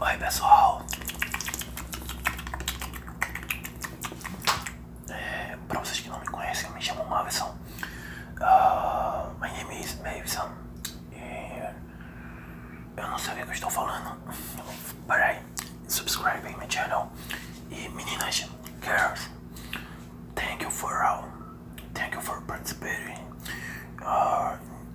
Oi pessoal, é, para vocês que não me conhecem, eu me chamo Mavison. Uh, ah, my name is Mavison. Eu não sei o que estou falando. But I subscribe in my channel. E meninas, girls, thank you for all. Uh, thank you for participating. Ah,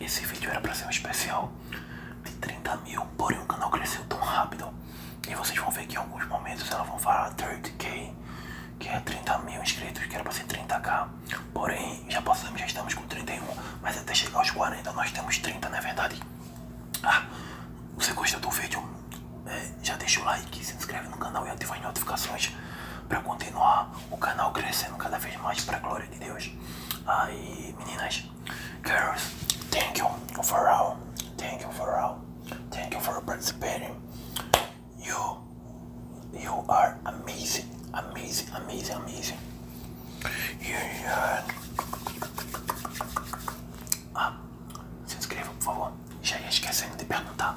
Esse vídeo era pra ser um especial de 30 mil, porém o canal cresceu tão rápido. E vocês vão ver que em alguns momentos elas vão falar 30k, que é 30 mil inscritos, que era pra ser 30k. Porém, já passamos, já estamos com 31, mas até chegar aos 40 nós temos 30, não é verdade? Ah, você gostou do vídeo? É, já deixa o like, se inscreve no canal e ativa as notificações para continuar o canal crescendo cada vez mais para a glória de Deus. Aí, meninas, girls, thank you for all, thank you for all, thank you for participating. You, you are amazing, amazing, amazing, amazing. You are... Ah, se inscreva por favor. Já ia esquecendo de perguntar.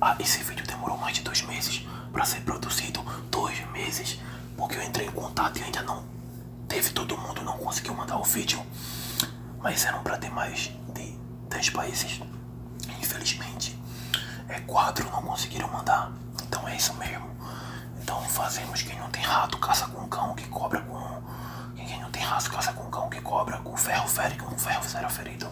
Ah, esse vídeo demorou mais de dois meses para ser produzido. Dois meses, porque eu entrei em contato e ainda não teve todo mundo, não conseguiu mandar o vídeo. Mas eram para ter mais de 10 países. Infelizmente, é quatro não conseguiram mandar. Então é isso mesmo. Então fazemos quem não tem rato caça com cão que cobra com quem não tem rato caça com cão que cobra com ferro fere com ferro será ferido.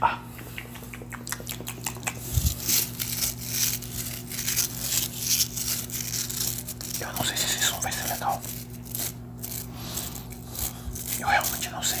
Ah. Eu não sei se esse som vai ser legal. Eu realmente não sei.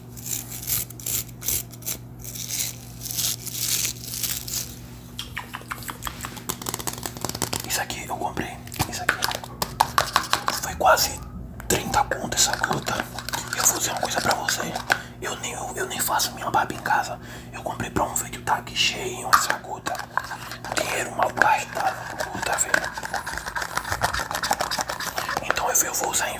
Isso aqui eu comprei. Isso aqui foi quase 30 conto essa gruta. Eu vou dizer uma coisa pra você Eu nem, eu, nem faço minha barba em casa. Eu comprei pra um vídeo, tá aqui cheio essa gruta. Dinheiro mal gastado, gruta, velho. Então eu vou usar em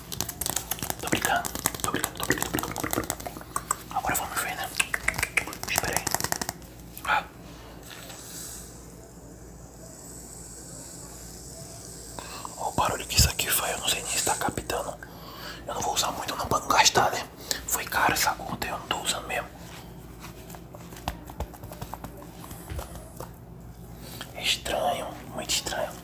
Tô brincando, tô brincando, tô brincando, tô brincando, Agora vamos ver, né? Espera aí. Olha ah. o barulho que isso aqui foi, eu não sei nem se tá captando. Eu não vou usar muito não vou gastar, né? Foi caro essa conta, eu não tô usando mesmo. estranho, muito estranho.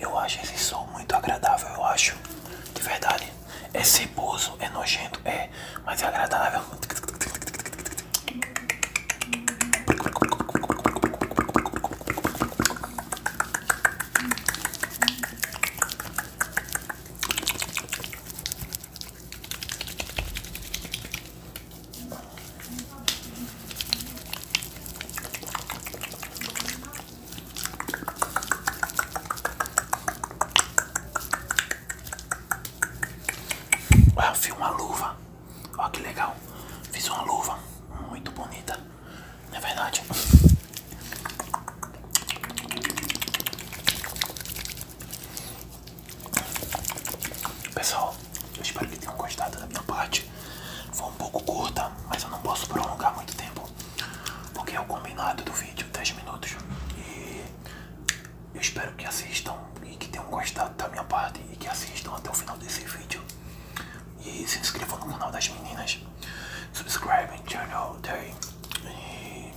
Eu acho esse som muito agradável, eu acho. De verdade. É ceboso, é nojento, é, mas é agradável. Ah, eu fiz uma luva, olha que legal, fiz uma luva muito bonita é verdade. Pessoal, eu espero que tenham gostado da minha parte. Foi um pouco curta, mas eu não posso prolongar muito tempo. Porque é o combinado do vídeo, 10 minutos. E eu espero que assistam e que tenham gostado da minha parte e que assistam até o final desse vídeo. E se inscreva no canal das meninas. Subscribe and channel day. E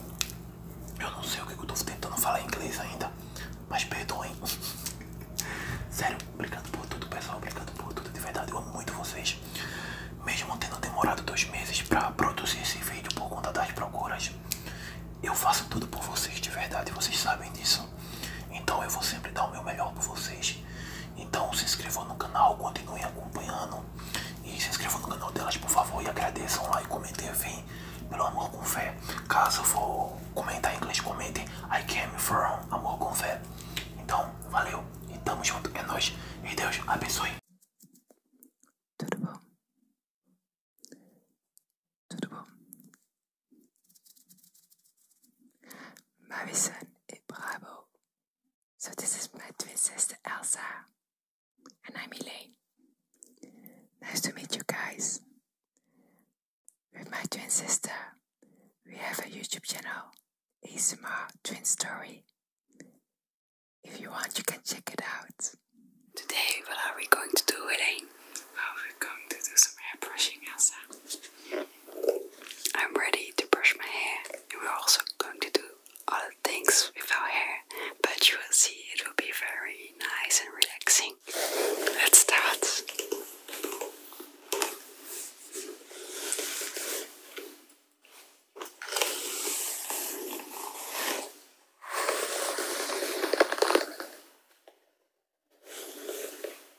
eu não sei o que eu tô tentando falar em inglês ainda. Mas perdoem. Sério, obrigado por tudo, pessoal. Obrigado por tudo. De verdade, eu amo muito vocês. Mesmo tendo demorado dois meses pra produzir esse vídeo por conta das procuras, eu faço tudo por vocês, de verdade. Vocês sabem disso. Então eu vou sempre dar o meu melhor por vocês. Então se inscrevam no canal, continuem acompanhando. E se inscrevam no canal delas, por favor, e agradeçam lá e comentem. Vem, pelo amor com fé. Caso for comentar em inglês, comentem. I came from amor com fé. Então, valeu. E tamo junto. É nóis. E Deus abençoe. Tudo bom? Tudo bom? Morrison et Bravo. So this is my twin sister Elsa. And I'm Elaine. Nice to meet you guys. With my twin sister, we have a YouTube channel, Isma Twin Story. If you want, you can check it out. Today, what are we going to do, Elaine? we're going to do some hair brushing, Elsa. I'm ready to brush my hair. We're also going to do other things with our hair, but you will see it will be very nice and relaxing. Let's start.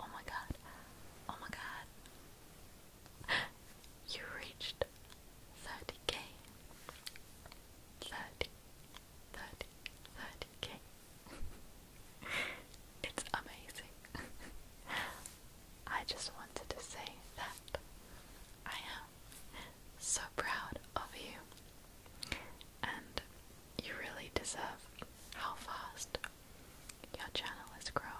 Oh my god. Oh my god. You reached 30k. 30. k it's amazing. I just wanted to say that I am so proud of you. And you really deserve how fast your channel is growing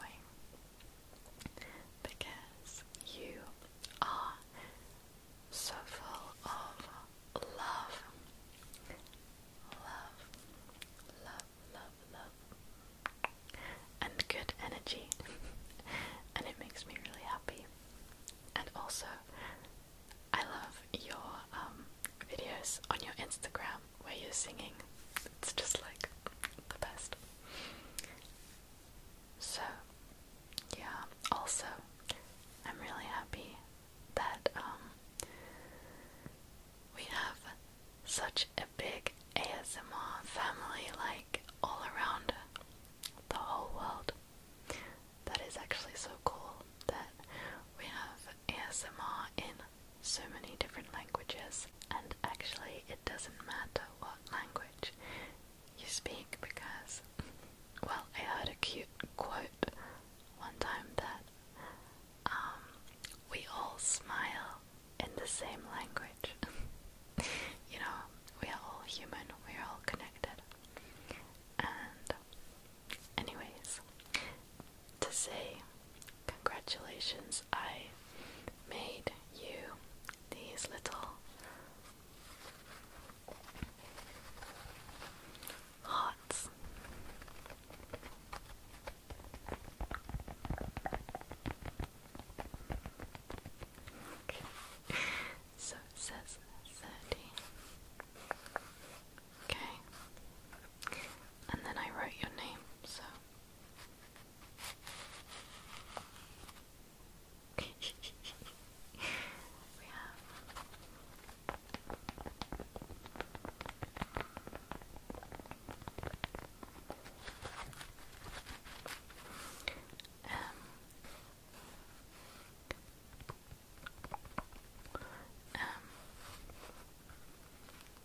because you are so full of love. Love, love, love, love, and good energy, and it makes me really happy. And also, I love your um, videos on your Instagram where you're singing. It's just like the best. So, yeah, also, I'm really happy that um, we have such a big ASMR family, like all around the whole world. That is actually so cool that we have ASMR in so many different languages, and actually, it doesn't matter what language you speak because, well, I heard a cute quote one time that um, we all smile in the same language. you know, we are all human, we are all connected. And, anyways, to say congratulations, I made you these little hearts. Okay. So it says thirty. Okay. And then I wrote your name, so we have um, um,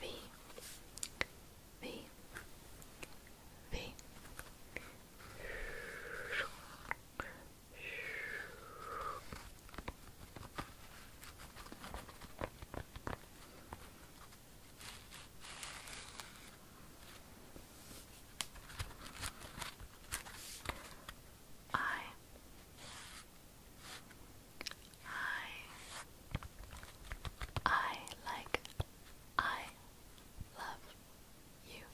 V V V I I I like I love you.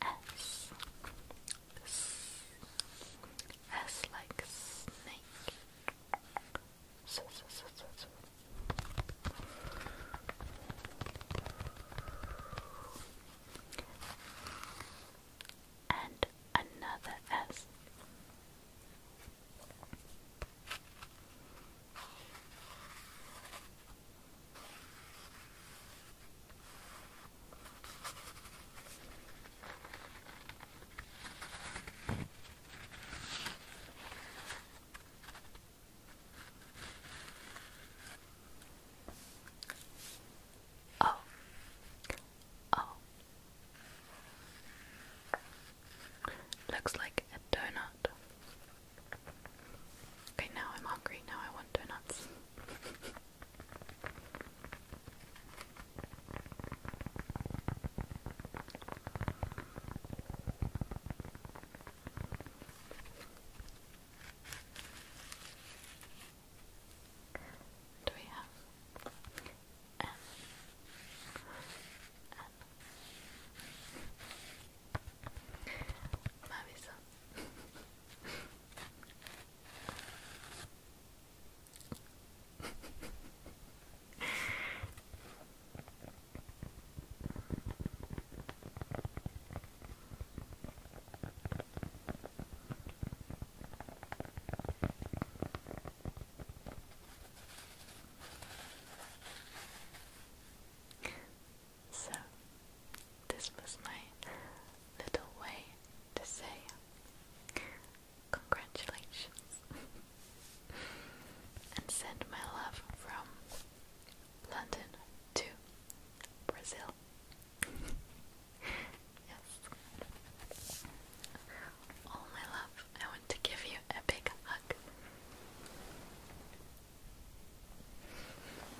S. S S like snake so, so, so, so, so. And another S. Oh. Oh. Looks like a donut. Okay, now I'm hungry. Now I want donuts. Do we have N? N. Mavisa. So, this was my little way to say congratulations. and send my love from London to Brazil. yes. All my love, I want to give you a big hug.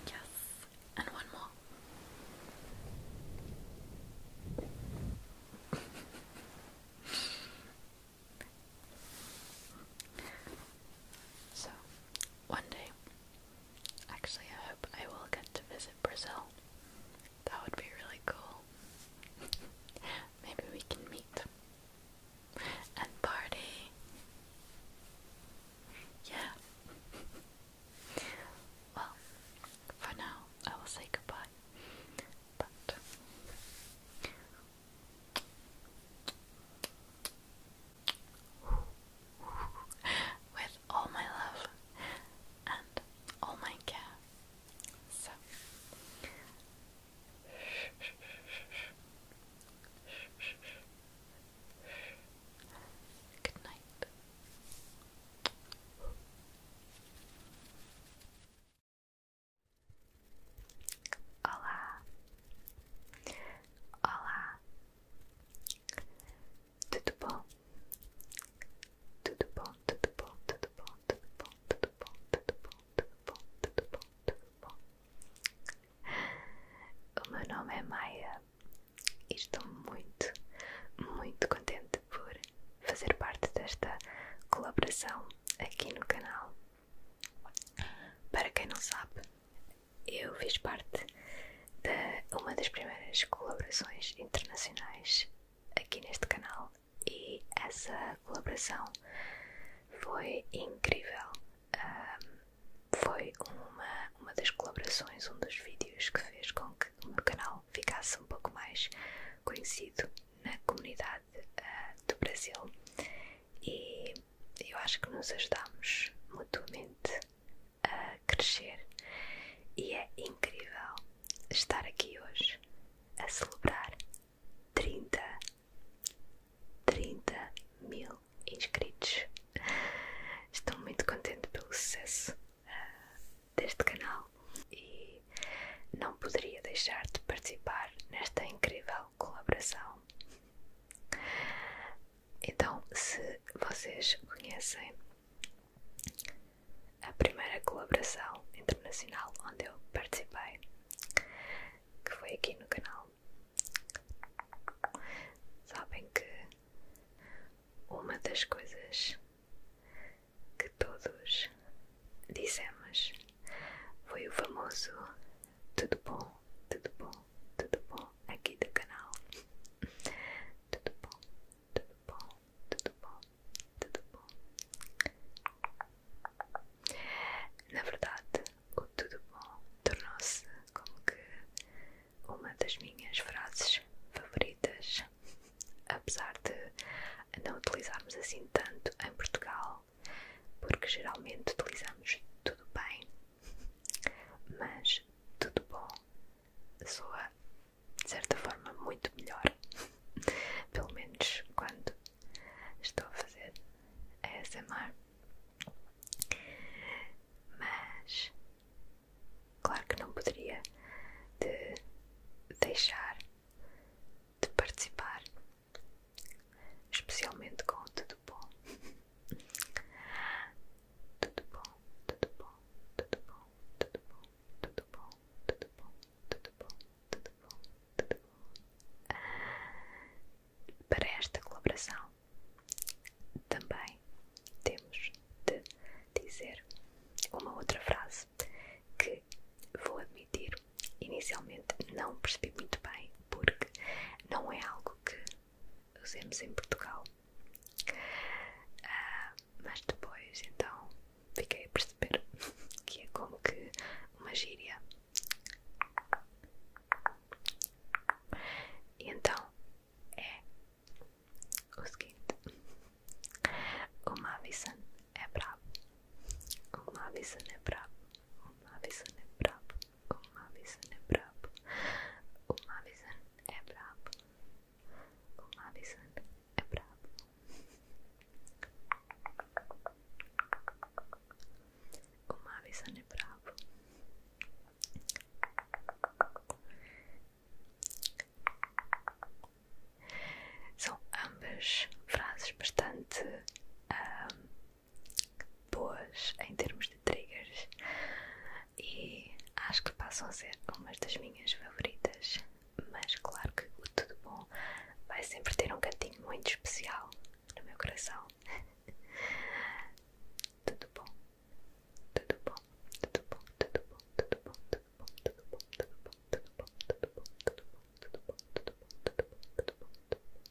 Yes, and one more. So, one day, actually, I hope I will get to visit Brazil. That would be really cool. Maybe we can meet and party. Yeah. well, for now, I will say goodbye. But with all my love and all my care. So good night. Olá, olá, tudo bom? Tudo bom, tudo bom, tudo bom, tudo bom, tudo bom, tudo bom, tudo bom, tudo bom, tudo bom. O meu nome é Maia e estou muito, muito contente por fazer parte desta colaboração aqui no canal. Para quem não sabe, eu fiz parte de uma das primeiras colaborações internacionais aqui neste canal e essa colaboração foi incrível. foi uma, uma das colaborações, um dos vídeos que fez com que o meu canal ficasse um pouco mais conhecido na comunidade ah, do Brasil e eu acho que nos ajudamos mutuamente a crescer e é incrível estar aqui hoje a celebrar 30 30 mil inscritos estou muito contente pelo sucesso ah, deste canal e não poderia deixar de participar nesta incrível colaboração. Então, se vocês conhecem a primeira colaboração internacional onde eu participei, que foi aqui no canal, sabem que uma das coisas que todos dissemos foi o famoso tudo bom, tudo bom, tudo bom aqui do canal. Tudo bom, tudo bom, tudo bom, tudo bom. Na verdade, o tudo bom tornou-se como que uma das minhas frases favoritas. Apesar de não utilizarmos assim tanto em Portugal, porque geralmente utilizamos tudo bem, mas tudo bom soa de certa forma muito melhor, pelo menos quando estou a fazer a ASMR. Mas claro que não poderia deixar de participar especialmente com o tudo bom. tudo bom, tudo bom, tudo bom, tudo bom, tudo bom, tudo bom, tudo bom, tudo bom, tudo bom. Para esta colaboração também temos de dizer uma outra frase que vou admitir inicialmente não percebi muito bem, porque não é algo que usemos em Portugal. Ah, mas depois, então, fiquei a perceber que é como que uma gíria. E então é o seguinte: o Mavison é bravo, O Mavison é brabo. O Mavison é brabo. O Mavison é brabo. O Mavison é brabo. O Mavison é brabo. O Mavison é brabo. São ambas frases bastante um, ah, boas em termos de triggers e acho que passam a ser umas das minhas favoritas, mas claro que o Tudo Bom vai sempre ter um cantinho muito especial no meu coração. tudo bom, tudo bom, tudo bom, tudo bom, tudo bom, tudo bom, tudo bom, tudo bom, tudo bom, tudo bom, tudo bom, tudo bom, tudo bom, tudo bom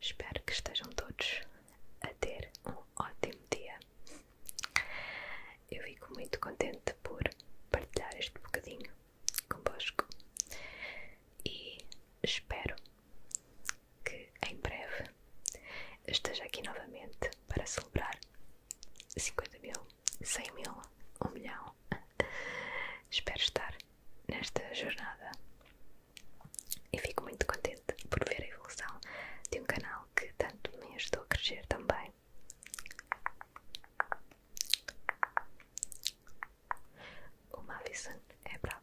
Espero que estejam todos a ter um ótimo dia. Eu fico muito contente por partilhar este bocadinho convosco e espero que em breve esteja aqui novamente para celebrar 50 mil, 100 mil, 1 milhão. Espero estar nesta jornada e fico muito contente por ver a evolução de um canal que tanto me ajudou a crescer também. O Mavison é bravo.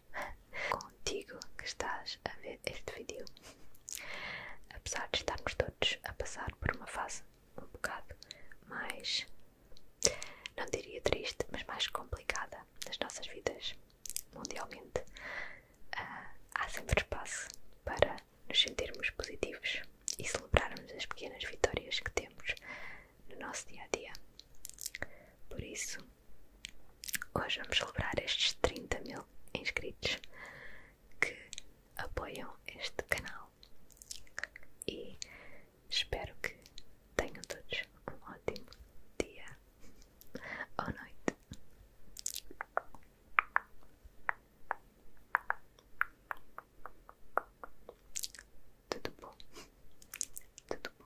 contigo que estás a ver este vídeo. Apesar de estarmos todos a passar por uma fase um bocado mais, não diria triste, mas mais complicada nas nossas vidas mundialmente, ah, há sempre espaço para nos sentirmos positivos e celebrarmos as pequenas vitórias que temos no nosso dia a dia. Por isso, Hoje vamos celebrar estes 30 mil inscritos que apoiam este canal e espero que tenham todos um ótimo dia ou noite. Tudo bom, tudo bom.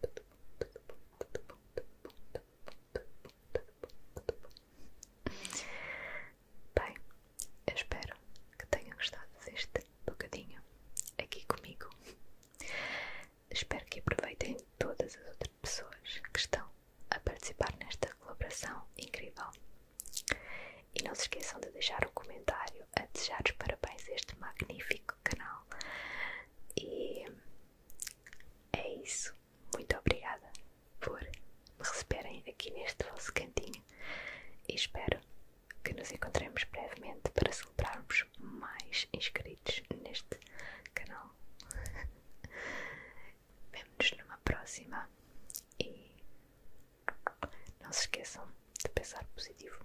tudo Bem, eu espero que tenham gostado deste bocadinho aqui comigo. Espero que aproveitem todas as outras pessoas que estão a participar nesta colaboração incrível. E não se esqueçam de deixar um comentário a desejar os parabéns a este magnífico canal. E é isso. Muito obrigada por me receberem aqui neste vosso cantinho e espero que nos encontremos brevemente para celebrarmos mais inscritos neste canal. Vemo-nos numa próxima e não se esqueçam de pensar positivo.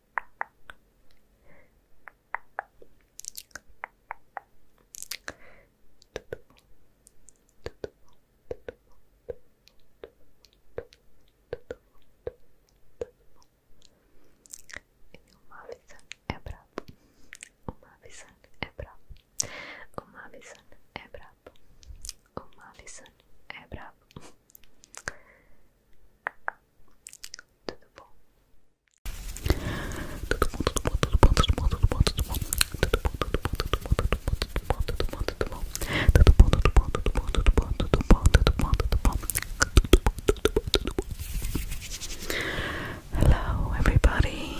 Tudo bom, tudo bom, tudo bom, tudo bom, tudo bom, tudo bom. Uma visão é brabo, uma visão é brabo, uma visão é brabo, uma visão é brabo. Hello everybody.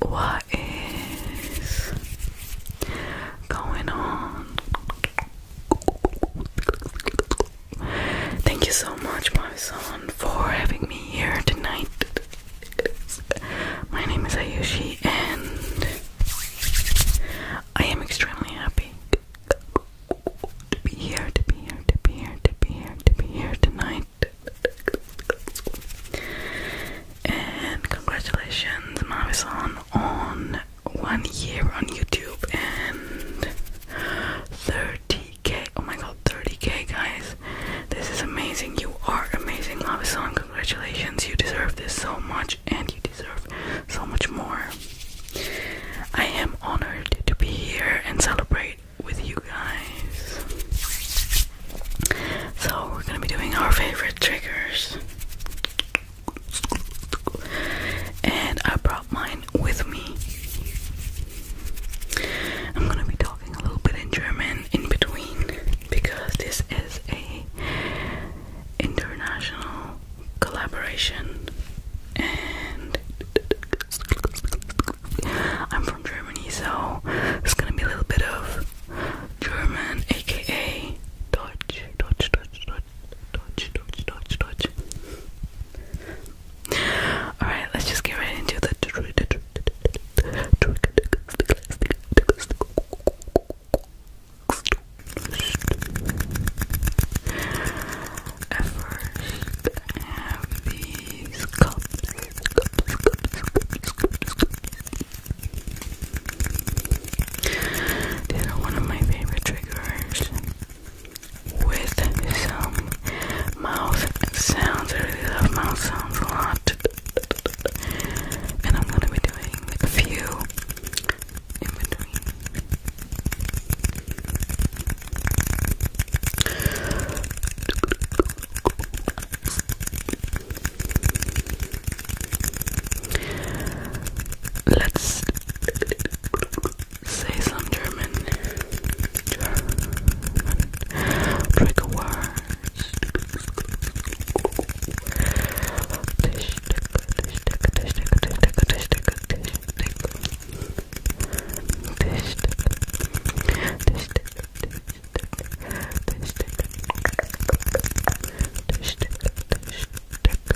What is going on? Thank you so much, my son, for having me here tonight. My name is Ayushi, and I am extremely happy to be here, to be here, to be here, to be here, to be here tonight. And congratulations, Mavisan, on one year on YouTube and 30k. Oh my god, 30k, guys. This is amazing. You are amazing, Love Song. Congratulations. You deserve this so much, and you deserve so much more. I am honored to be here and celebrate with you guys. So, we're gonna be doing our favorite triggers and I brought mine with me. I'm gonna be talking a little bit in German in between because this is a international collaboration and I'm from Germany so it's gonna be a little bit of German aka Deutsch Deutsch Deutsch Deutsch touch, touch, touch, touch. All right, let's just get right into the trigger. At first, I have these cups, cups, cups, cups, cups, cups. These are one of my favorite triggers with some mouth sounds. I really love mouth sounds a lot. And I'm gonna be doing a few in between. Let's Say some German, German trigger words. Tish, tish, tish, tish, tish, tish, tish, tish, tish, tish, tish, tick,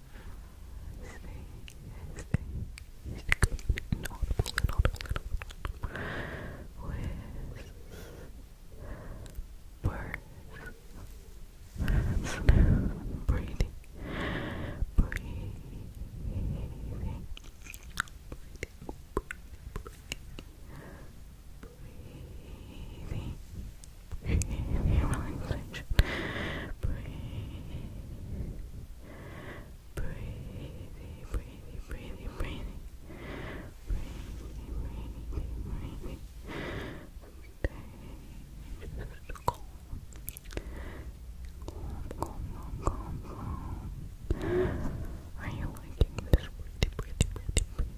stay, stay, inaudible, inaudible, inaudible, with birds, breathing, breathing, Breathing, breathing, breathing, breathing, breathing, breathing, breathing, breathing, breathing. Okay, calm, calm, calm, calm, Are you liking this pretty, pretty, pretty, pretty?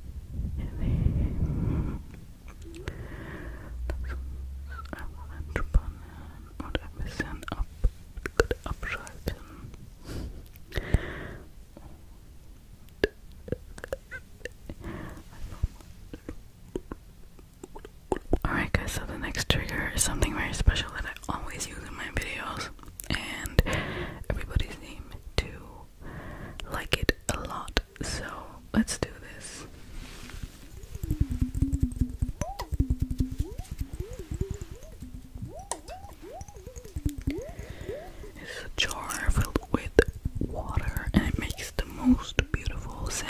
Alright guys, so the next trigger is something very special that I always use in my videos and everybody seems to like it a lot. So let's do this. It's a jar filled with water and it makes the most beautiful sound.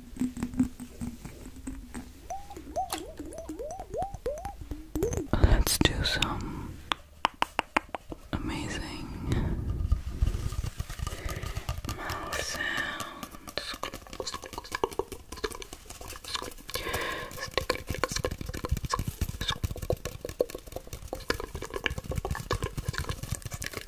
Let's do some amazing mouth sounds.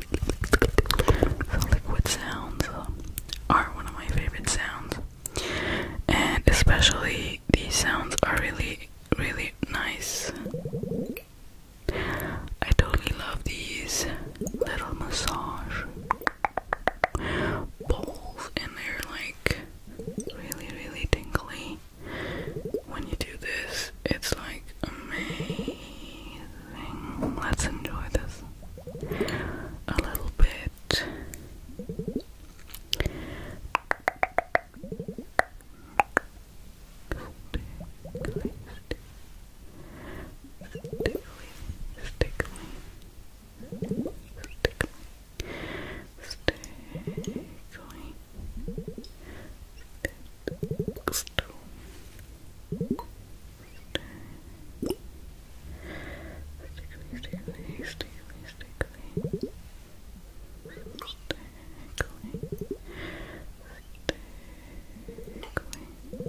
So liquid sounds are one of my favorite sounds. And especially these sounds are really, really nice. I totally love these little massage bowls, and they're like really, really tingly. When you do this, it's like amazing. Let's enjoy this a little bit. Stickly, stickly, stickly, stickly, stickly, stickly, stickly, very tingly, extremely tingly, tingly, tingly, tingly, tingly, tingly, tingly, tingly, tingly, tingly,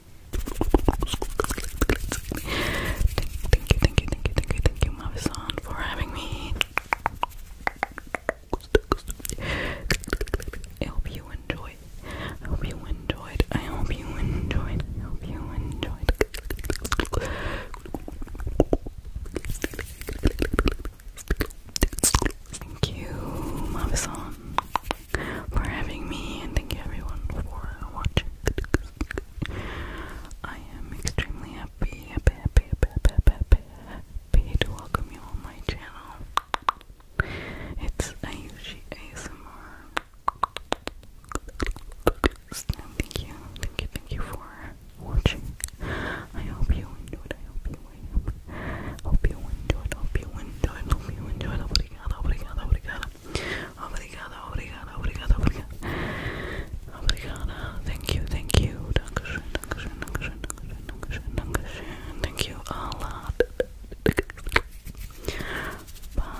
Thank you, thank you, thank you, thank you, thank you, Mavisan, for having me. I hope you enjoyed. I hope you enjoyed. I hope you enjoyed. I hope you enjoyed. Thank you, Mavisan for having me, and thank you everyone for watching. I am extremely happy, happy, happy, happy, happy, happy, happy to welcome you on my channel. It's Ayushi ASMR. Thank you, thank you, thank you for watching. I hope you enjoyed. I hope you, Hope you enjoyed, hope you enjoyed, hope you enjoyed. Obrigada, obrigada, obrigada. Obrigada, obrigada, obrigada, obrigada. Obrigada. Thank you, thank you. Dankeschön, Dankeschön, Dankeschön, Dankeschön, Dankeschön. Thank you a lot. Bye.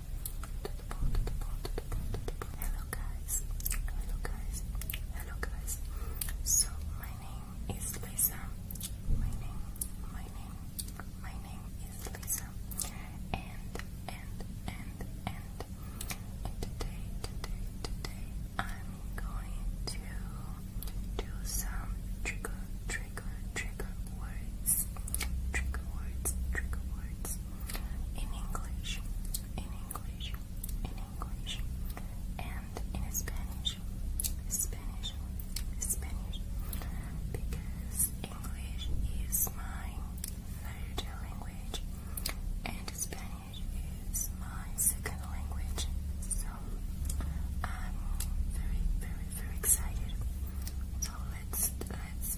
Hello guys, hello guys, hello guys. So my name is Lisa. My name, my name, my name is Lisa. and and and and today, today, today, I'm going to do some trigger, trigger, trigger words. Trigger words, trigger words in English in English, in English, and in Spanish, Spanish, Spanish, because English is my third language and Spanish is my second language. So I'm very, very, very excited. So let's let's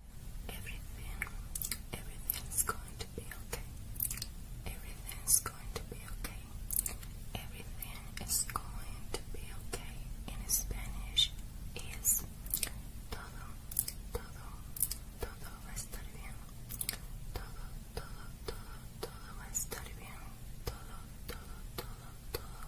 Everything, everything's going to be okay. Everything's going to be okay. Everything is going to be okay. In Spanish is todo, todo, todo va a estar bien. Todo, todo, todo, todo va a estar bien. Todo, todo, todo, todo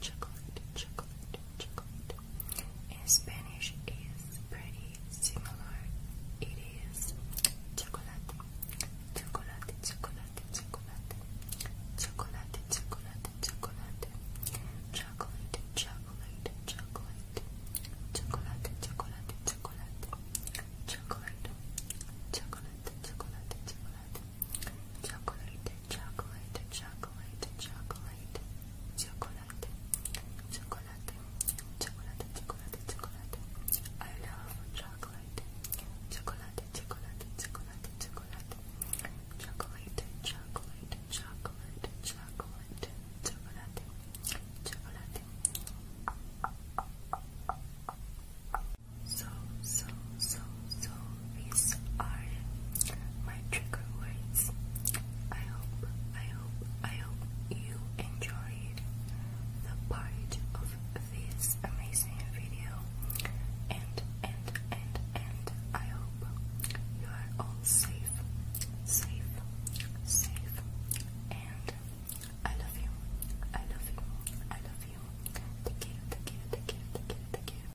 chocolate, chocolate, chocolate. In Spanish is pretty similar. It is chocolate, chocolate, chocolate, chocolate, chocolate, chocolate, chocolate, chocolate, chocolate, chocolate, chocolate, chocolate, chocolate, chocolate, chocolate, chocolate, chocolate chocolate, chocolate, chocolate, chocolate, chocolate, chocolate, chocolate, chocolate, chocolate. I love chocolate, chocolate, chocolate, chocolate, chocolate, chocolate, chocolate, chocolate, chocolate, chocolate, chocolate. So, so, so, so these are my trigger words. I hope, I hope, I hope you enjoyed the part of this amazing video. And, and, and, and I hope you are all safe, safe, safe. And I love you, I love you, I love you. Take care, take care, take care, take care, take care.